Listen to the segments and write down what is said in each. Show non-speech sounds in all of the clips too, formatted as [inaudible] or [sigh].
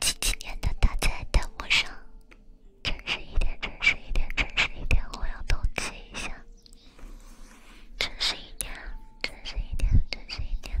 七几年的大家，弹我上，真实一点，真实一点，真实一点，我要偷气一下，真实一点，真实一点，真实一点。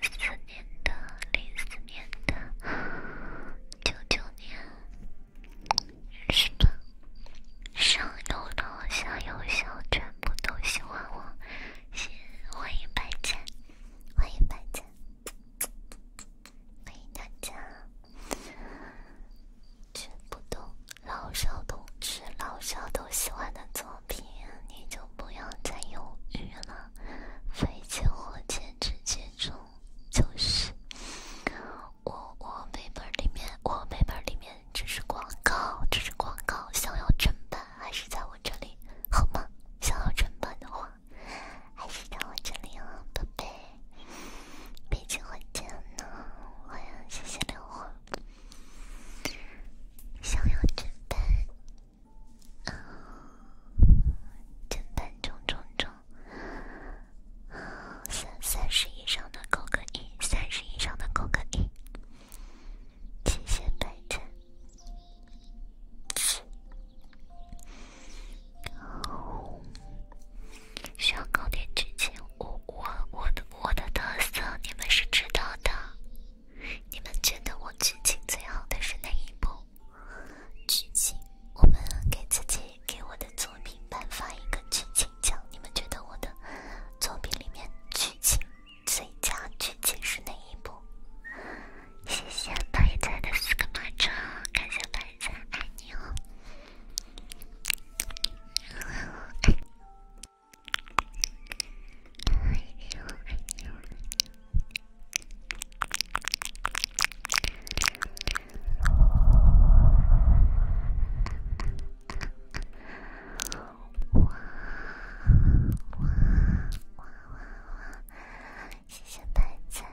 零四年的，零四年的，九九年，是的，上有老，下有小，全部都喜欢我。欢迎白剑，欢迎白剑，欢迎大家。全部都老少都吃，老少都喜欢的作品，你就不要再犹豫了。飞机、火箭。直接充就是我我背包里面我背包里面只是广告只是广告，想要正版还是在我这里好吗？想要正版的话，还是在我这里啊，宝贝。北京回家呢，欢迎谢谢刘花。想要正版。啊！真难！中中中！三三十以上的高跟音，三十以上的高跟音，极限百战。需要搞点剧情。我我我的我的特色你们是知道的。你们觉得我剧情最好的是哪一部？剧情，我们给自己给我的作品颁发一个剧情奖。你们觉得我的作品里面剧情最佳剧情是哪一部？谢谢白菜的四个马车，感谢白菜，爱你哦！爱你哦！爱你哦！哇哇哇哇哇！谢谢白菜，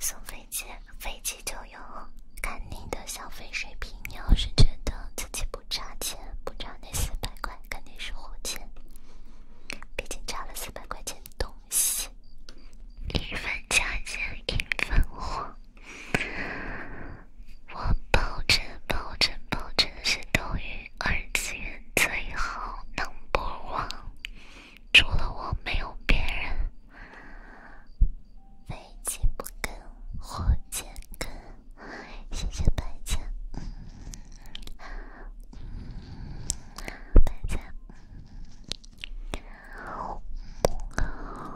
送飞机，飞机就有。看你的消费水平，你要是觉得自己不。不差钱，不差那四百块，肯定是火箭。毕竟差了四百块钱东西，一分价钱一分货。我保证，保证，保证是斗鱼二次元最好，能不黄。除了我，没有别人。飞机不跟火箭跟。谢谢白菜，嗯，白菜，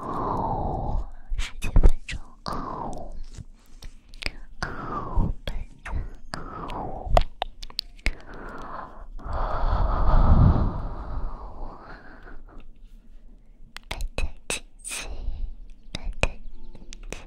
哦，十几分钟，哦，白菜，哦，我的亲亲，我的亲亲。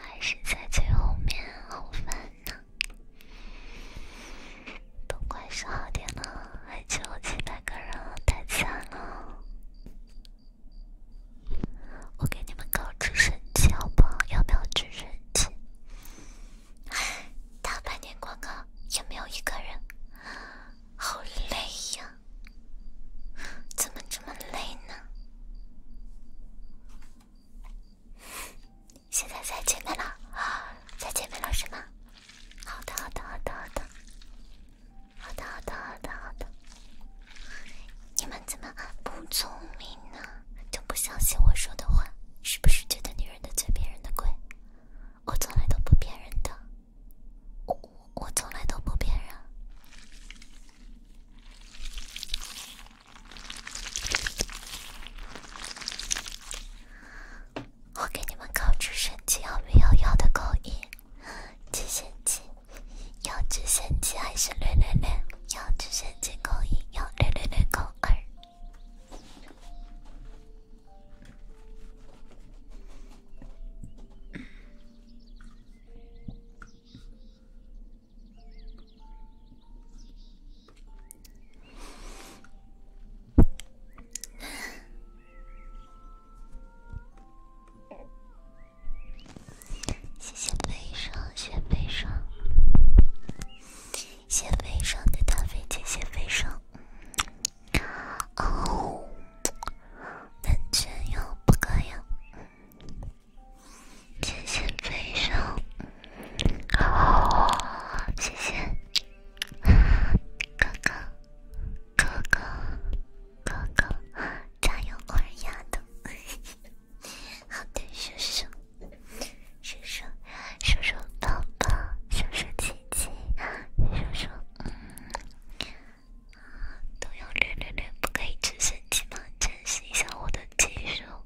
还是在最后面，好烦呐！都快十二点了，还只有几百个人，太惨了。我给你们搞直升机好不好？要不要直升机？大半天广告也没有一个人，好累呀！怎么这么累呢？现在再见面了啊！再见面了，是吗？好的，好的，好的，好的，好的，好的，好的，好的。你们怎么不聪明呢？就不相信我说的话？是不是觉得女人的嘴骗人的鬼？我从来都不骗人的，我我从来都不骗人。我给你们考直升机要没有要的扣一，直升机要直升机还是六六六要直升机扣一，要六六六扣二。谢谢悲伤，谢悲伤，谢悲伤的咖啡姐，谢悲伤。哦，难圈又不可以。谢谢飞霜，谢谢哥哥，哥哥，哥哥，加油二丫的，好的叔叔，叔叔，叔叔抱抱，叔叔亲亲，叔叔，嗯，都要略略略，不可以只是级吗？展示一下我的技术。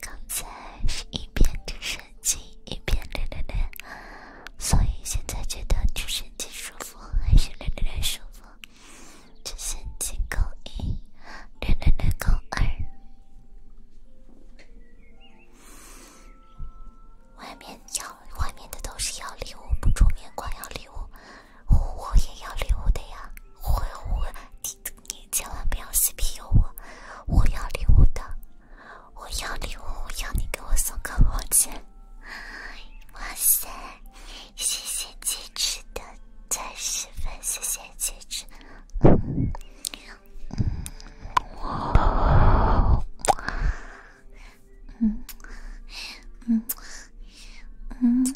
刚才是一边整身体一边练练练，所以现在觉得整身体舒服还是练练练舒服？整身体高一，练练练高二。外面要外面的都是要礼物，不出面光要礼物。我也要礼物的呀！我我你你千万不要 CPU 我！我要礼物的，我要礼物，要你给我送个魔仙，哇塞，谢谢戒指的钻石粉，谢谢机智。嗯，嗯，嗯，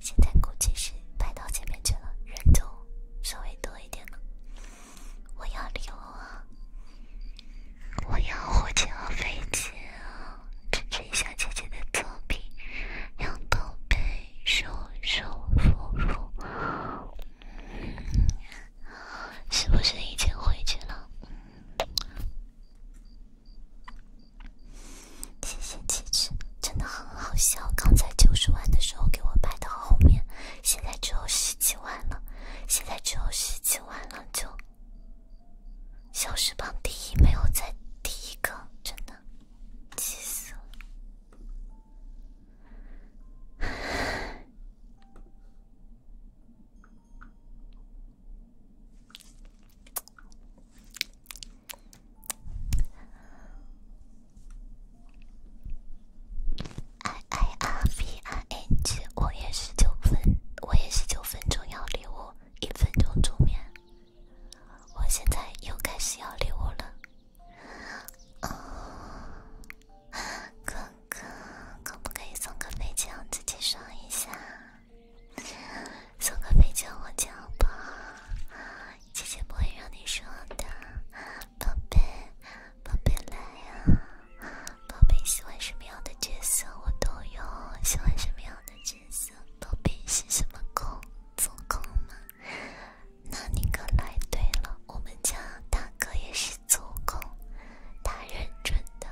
现在估计是排到前面去了，人就稍微多一点了。我要溜啊，我要火箭和飞机，支持一下姐姐的作品，让宝贝舒舒服服。是不是已经回去了？谢谢支持，真的很好笑。刚才九十万的时候给我排到后面，现在只有十几万了。现在只有十几万了，就，小时榜第一没有在第一个，真的，气死。了。I I R V I N 我也是九分，我也是九分钟要礼物，一分钟助眠。我现在又开始要礼物了。哥哥，可不可以送个背景自己刷一下？送个杯酒我敬，好姐姐不会让你失望的，宝贝，宝贝来呀！宝贝喜欢什么样的角色我都有，喜欢什么样的角色？宝贝是什么攻？做攻吗？那你可来对了，我们家大哥也是做攻，他认真的。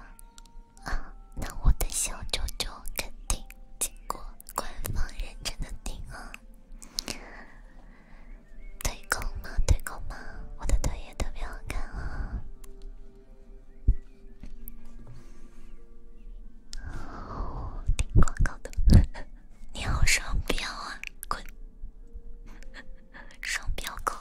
啊，那我的小啾啾肯定经过官方认证的，听啊！腿够吗？腿够吗？我的腿也特别好看啊！听广告的，你好，商标啊，滚！商 [laughs] 标哥。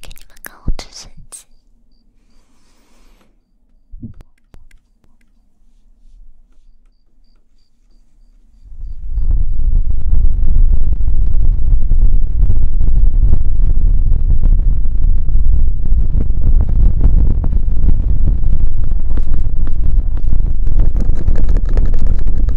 给你们看我直升机。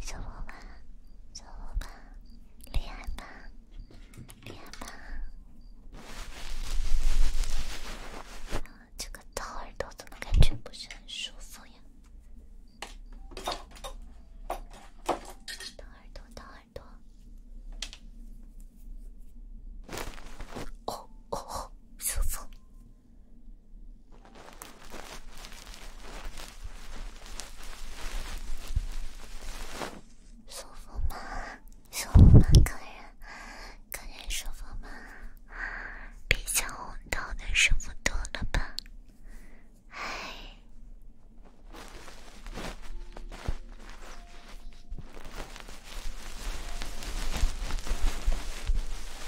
做吧，做吧，厉害吧，厉害吧！啊，这个大耳朵怎么感觉不是很舒服呀？大耳朵，大耳朵，哦哦，舒服。舒服吗？舒服吗？客人，客人舒服吗？比抢红包的舒服多了吧？唉。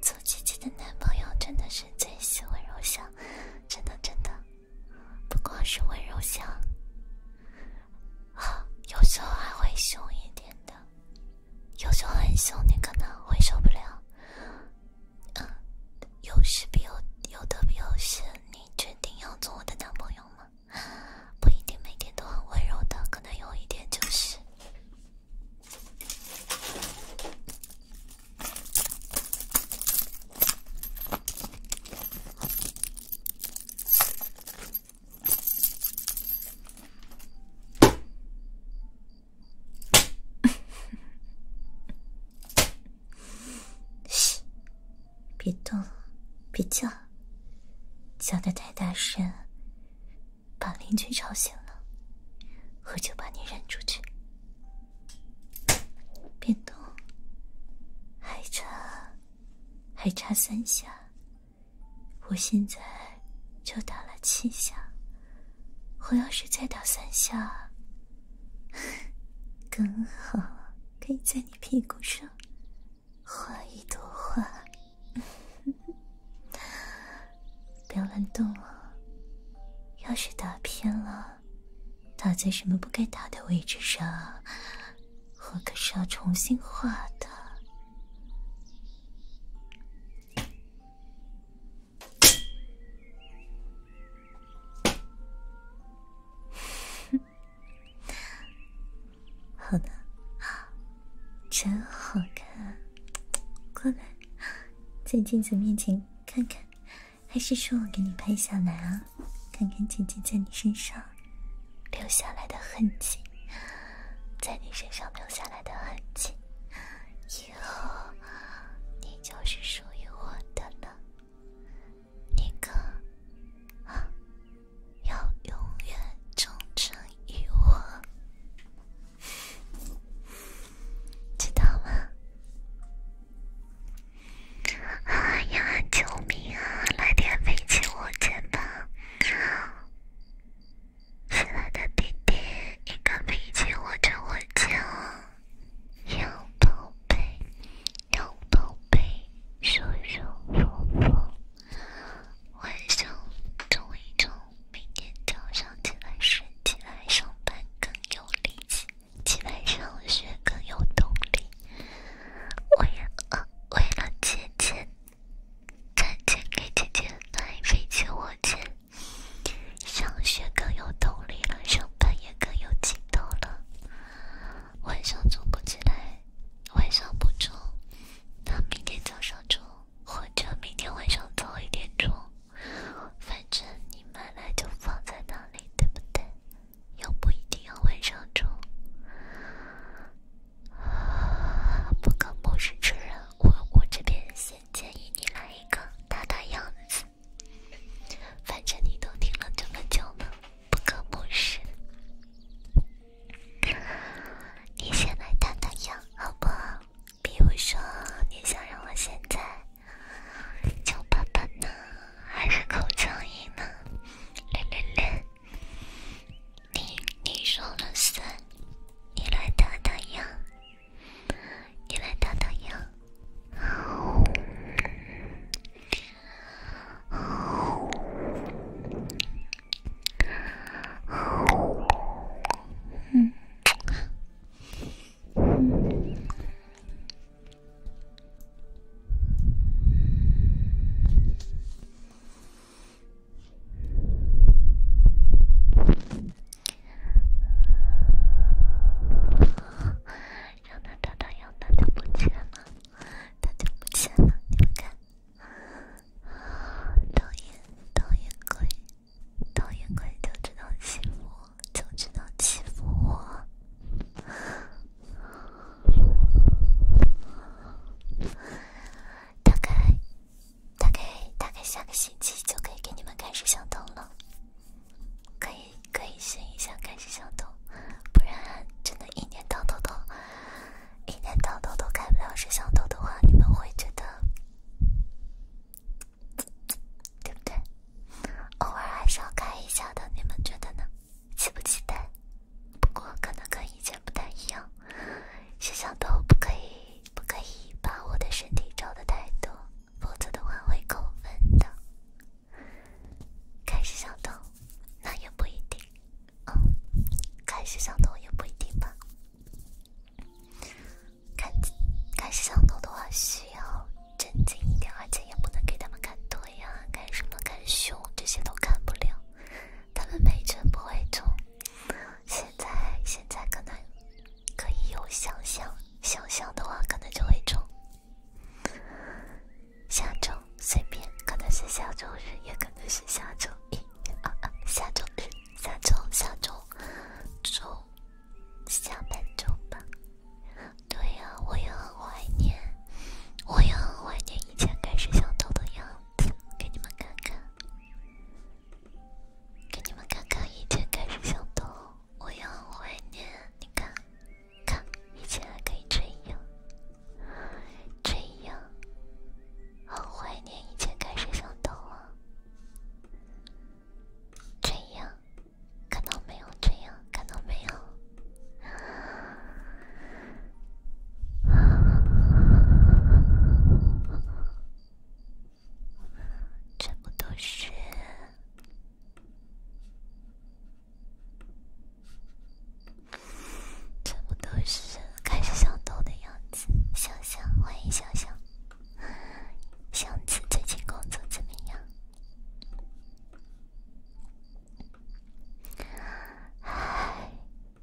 做姐姐的男朋友真的是最喜温柔乡，真的真的，不光是温柔乡，有时候还会凶一点的。有时候很凶，你可能会受不了。嗯，有失必有有的必有失，你决定要做我的男朋友吗？不一定每天都很温柔的，可能有一天就是。[laughs] 嘘，[laughs] 别动，别叫，叫的太大声，把邻居吵醒了，我就把你扔出去。别动，还差，还差三下，我现在。就打了七下，我要是再打三下，刚好可以在你屁股上画一朵花。[laughs] 不要乱动了，要是打偏了，打在什么不该打的位置上，我可是要重新画的。好的，真好看。过来，在镜子面前看看。还是说我给你拍下来啊？看看姐姐在你身上留下来的痕迹，在你身上留下来的痕迹。以后，你就是属于我的了，你可要永远忠诚于我，知道吗？哎呀，救命啊！来电飞进我肩膀。亲爱的弟弟，一个鼻青，或者我青。养宝贝，养宝贝，舒舒服服。晚上想一中，明天早上起来，起来上班更有力气，起来上学更有动力。我也了为了姐姐，攒钱给姐姐买飞机卧铺。上学更有动力了，上班也更有劲头了。晚上充不起来，晚上不充，那明天早上充，或者明天晚上早一点充，反正你买来就放在那里，对不对？又不一定要晚上充。不可跟陌生人我我这边先。建议你来一个大大样，反正你都听了这么久了，不可不视。你先来打打样，好不好？比如说，你想让我现在叫爸爸呢，还是口腔音呢？来来来，你你说了算，你来打打样。你来打打样。嗯，嗯。让他，让他，让他就不接了，他就不见了。你看，导演，导演鬼，导演鬼就知道欺负我，就知道欺负我。大概，大概，大概下个星期就可以给你们开始行动了。可以可以试一下开摄像头，不然真的，一年到头都一年到头都开不了摄像头的话，你们会觉得，对不对？偶尔还是要开一下的，你们觉得呢？期不期待？不过可能跟以前不太一样，摄像头不可以不可以把我的身体照的太多。否则的话会扣分的。开始上头，那也不一定。嗯，开始上头也不一定吧。看，开始上头的话需要镇静一点，而且也不能给他们看腿呀，看什么看胸这些都看不了。他们没准不会中。现在现在可能。可以有想象，想象的话可能就会中。下周随便，可能是下周日，也可能是下周一啊啊，下周日、下周、下周周下半周吧。对呀，我也很怀念，我也很怀念以前开始想豆的样子，给你们看看。给你们看看以前开始小偷，我也很怀念。你看，看以前还可以这样，这样，很怀念以前开始小偷啊，这样，看到没有？这样看到没有？全部都是，全部都是开始想豆的样子。香香，欢迎香香。香子最近工作怎么样？哎，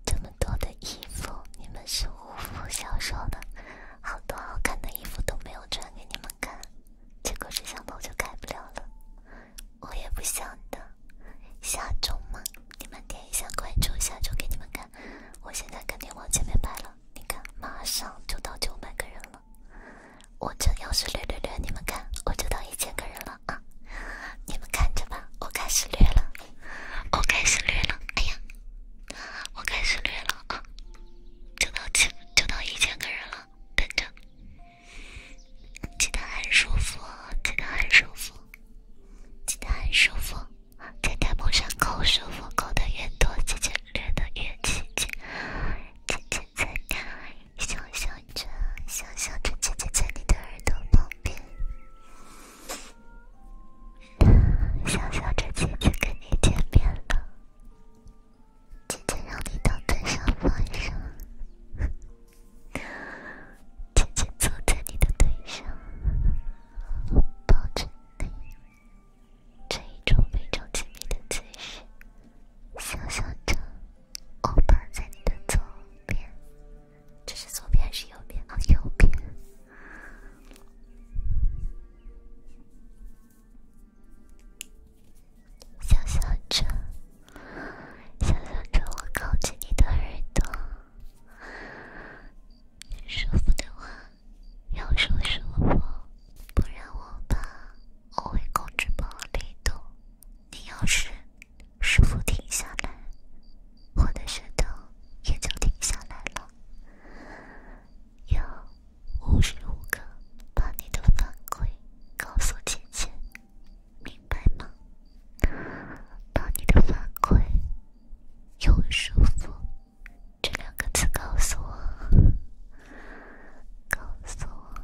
这么多的衣服，你们是护肤销售的，好多好看的衣服都没有穿给你们看。这个摄像头就开不了了，我也不想的。下周嘛。你们点一下关注，下周给你们看。我现在肯定往前面排了，你看，马上就到九百个人了。我这要是略略略，你们看，我就到一千个人了啊！你们看着吧，我开始略了，我开始略了，哎呀，我开始略了啊！就到这。就到一千个人了，等着。记得很舒服，记得很舒服，记得很舒服。在弹幕上扣舒服，扣的越多，姐姐虐的越起劲。姐姐在那，想象着，想象着姐姐在你的耳朵旁边，想象着姐姐跟你见面了。姐姐让你躺在沙发上，姐姐坐在你的腿上，抱着你，这一种抱着你的姿势，想象着我趴在你的左边，这是左边还是右边？啊，右边。想象着，想象着我靠近你的耳朵，舒服的话要说舒服，不然我怕我会控制不好力度。你要是舒服停下来，我的舌头也就停下来了。要无时无刻把你的反馈告诉姐姐，明白吗？把你的反馈“又舒服”这两个字告诉我，告诉我。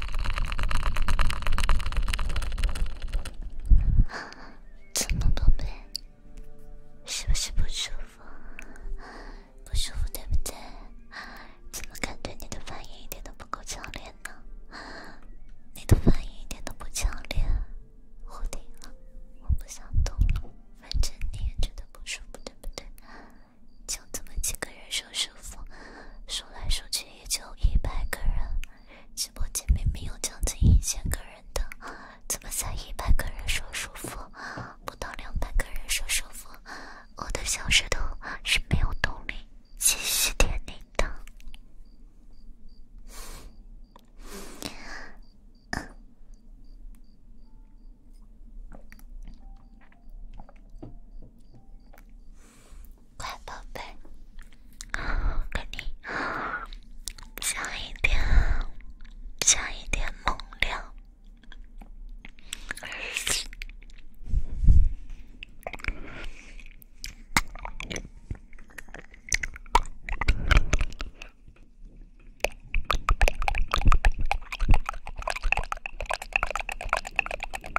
啊，怎么宝贝？是不是不舒服？不舒服，对不对？怎么感觉你的反应一点都不够强烈呢？你的反应一点都不强烈，我停了，我不想动了。反正你也觉得不舒服，对不对？就这么几个人说舒服，说来说去也就一百个人，直播间明明有将近一千个人的，怎么才一百个人说舒服？不到两百个人说舒服，我的小舌头是没有动力，谢谢点点的。乖宝贝，肯 [gasps] 定加一点，加一点猛料。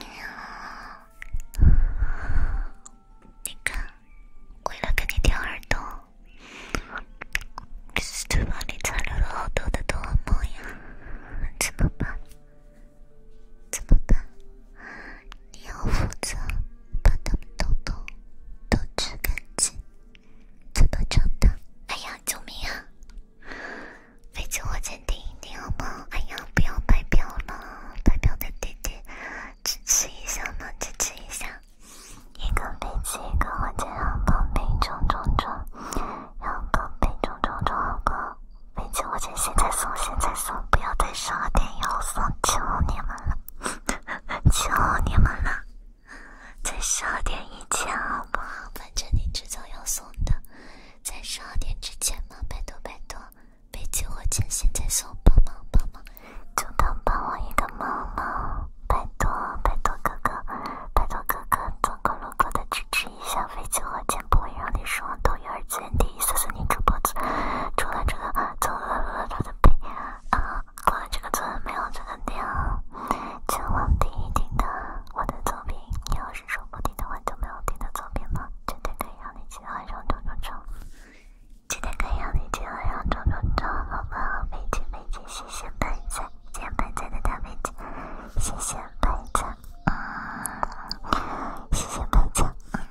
喵，你看，我要给你挑耳朵，嘴巴里残留了好多的头发呀，怎么办？怎么办？你要负责把它们都都都吃干净，怎么着的？哎呀，救命啊！飞机火箭一定要帮！哎呀，不要白嫖了，白嫖的弟弟，支持一下呢，支持一下！一个飞机，一个火箭，然旁边冲冲冲，然后旁边冲冲冲啊！飞机火箭现在送，现在送，不要再少点，要送！求你们了，求你们了，[laughs] 在十二点以前好不好？反正你迟早要送的，在十二点之前嘛，拜托拜托，飞机火箭现在送，帮忙帮忙，就当帮我一个忙嘛，拜托拜托哥哥，拜托哥哥，走过路过的支持一下，飞机火箭不会让你失望，都有儿二的。死死你，主播。除了这个村恶恶的背，啊，除了这个村没有村的病，请务必听的我的作品。你要是说不听的话，就没有听的作品吗？今天可以让你进入两种中，今天可以让你进入两种中，好不好？美金美金，谢谢美子，谢谢美子的大谢谢美子，啊，谢谢美子。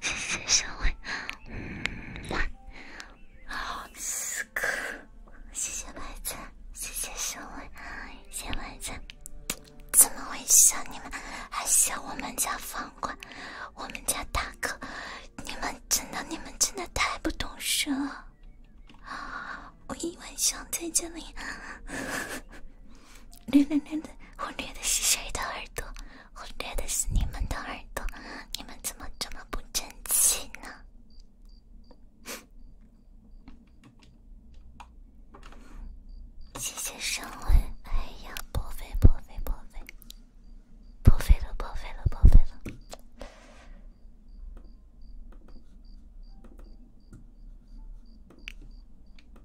谢谢小伟，好，四哥，谢谢麦子，谢谢小伟，谢谢麦子，怎么会想你们？还想我们家房管，我们家大哥，你们真的，你们真的太不懂事了！我一晚上在这里。略略略略，我略的是谁的耳朵？我略的是你们的耳朵！你们怎么这么不争气呢？谢谢上位！哎呀，破费、破费、破费、破费了，破费了，破费了！是。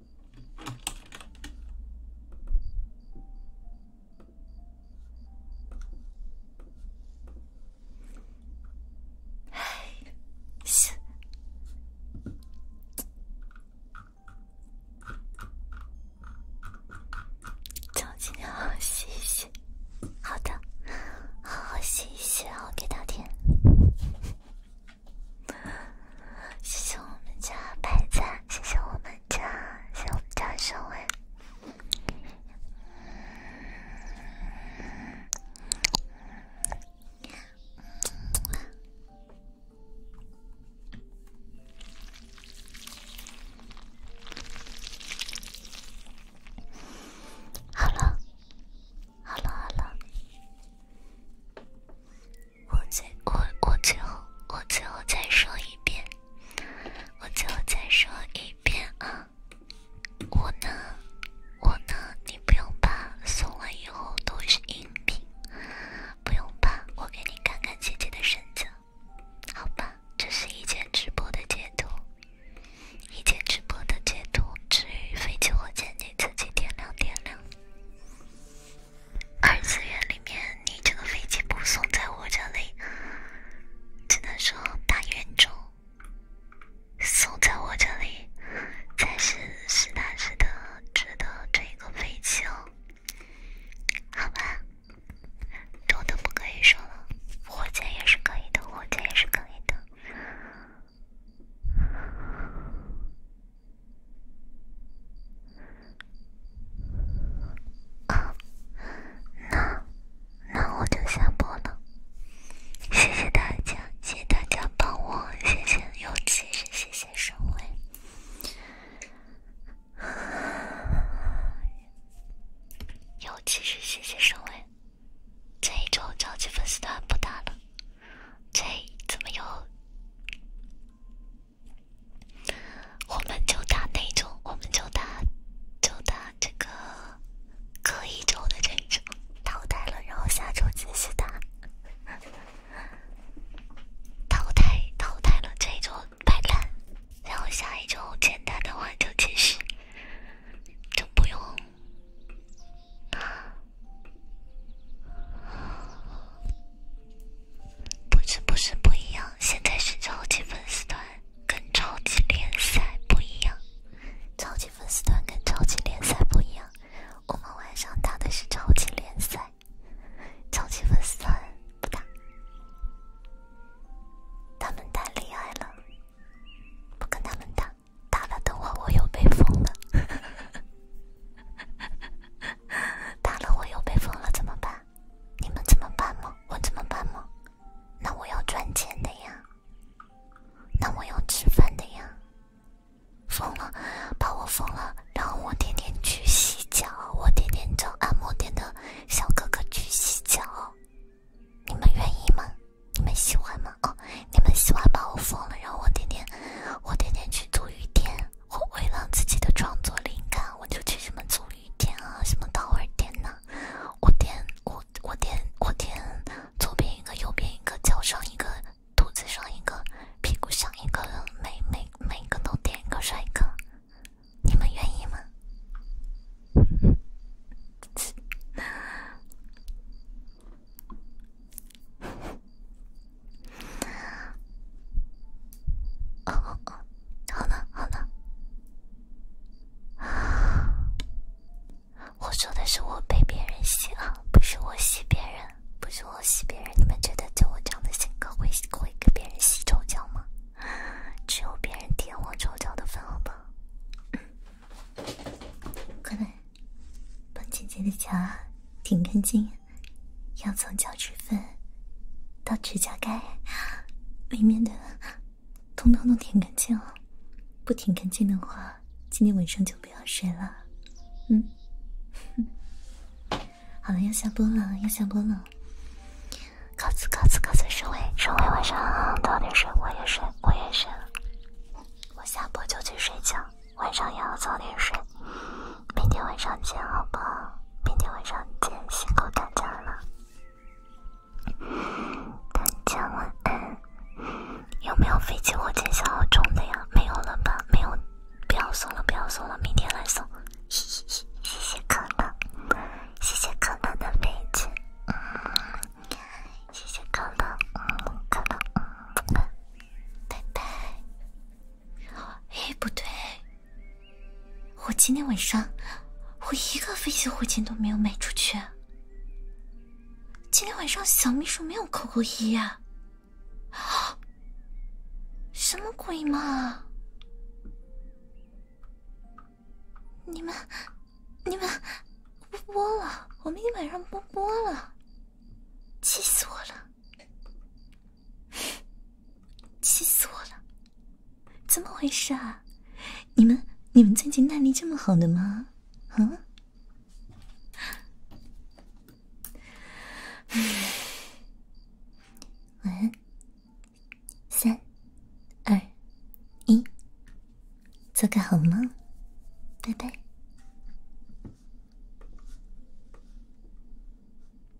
洗，从今天好好洗一洗。好的，好好洗一洗，我给他听。谢谢我们家白菜，谢谢我们家，谢谢我们家小万。好了，好了，好了。我最我我最后我最后再说一遍，我最后再说一遍啊！我呢，我呢，你不用怕，送完以后都是音频，不用怕，我给你看看姐姐的身材。好吧？这是一键直播的截图，一键直播的截图。至于飞机火箭，你自己点亮点亮。二次元里面，你这个飞机不送在我这里，只能说大冤种。送在我这里，才是实打实的值得这一个飞机哦。好吧，多的不可以说了，火箭也是可以的，火箭也是可以的。啊，那那我就下播了。谢谢大家，谢谢大家帮我，谢谢尤其是谢谢沈巍，尤其是谢谢沈巍。这一周超级粉丝团不打了，这怎么又？我们就打那种，我们就打，就打这个隔一周的这种淘汰了，然后下周继续打。[laughs] 淘汰淘汰了这一周白烂，然后下一周简单的话就继续，就不用。不是不是不一样，现在是超级粉丝团跟超级联赛不一样。超级粉丝团跟超级联赛不一样，我们晚上打的是超级联赛，超级粉丝团不打，他们太厉害了，不跟他们打，打了等会我又被封了。[laughs] 打了我又被封了怎么办？你们怎么办吗？我怎么办吗？那我要赚钱的呀，那我要吃饭的呀。疯了，把我疯了，然后我天天去洗脚，我天天找按摩店的小哥哥去洗脚。你们愿意吗？你们喜欢吗？哦，你们喜欢把我疯了，然后我天天，我天天去足浴店。我为了自己的创作灵感，我就去什么足浴店啊，什么汤儿店呐，我点我我点我点左边一个，右边一个，脚上一个，肚子上一个，屁股上一个，每每每个都点一个帅哥，你们愿意吗？哦哦，哦，好了好的。我说的是我被别人洗了，不是我洗别人，不是我洗别人。你们觉得就我这样的性格会会给别人洗臭脚吗？只有别人舔我臭脚的份，好吧。可能帮姐姐的脚挺干净。要从脚趾缝到指甲盖里面的，通通都舔干净哦。不舔干净的话，今天晚上就不要睡了。嗯，[laughs] 好了，要下播了，要下播了。告辞，告辞，告辞，收尾，收尾，晚上早点睡，我也睡，我也睡了。我下播就去睡觉，晚上也要早点睡。明天晚上见，好不好？明天晚上见，辛苦大家了，大家晚安。有没有飞机火箭小号中的呀？没有了吧？没有，不要送了，不要送了，明天来送。谢谢可乐，谢谢可乐的飞机，谢谢可乐，可乐，拜拜。哎，不对。我今天晚上，我一个飞行火箭都没有卖出去。今天晚上小秘书没有扣扣一呀，啊，什么鬼嘛！你们，你们不播了，我们一天晚上不播了，气死我了！[laughs] 气死我了！怎么回事啊？你们你们最近耐力这么好的吗？嗯？[sighs] 晚安。三、二、一，做个好梦，拜拜。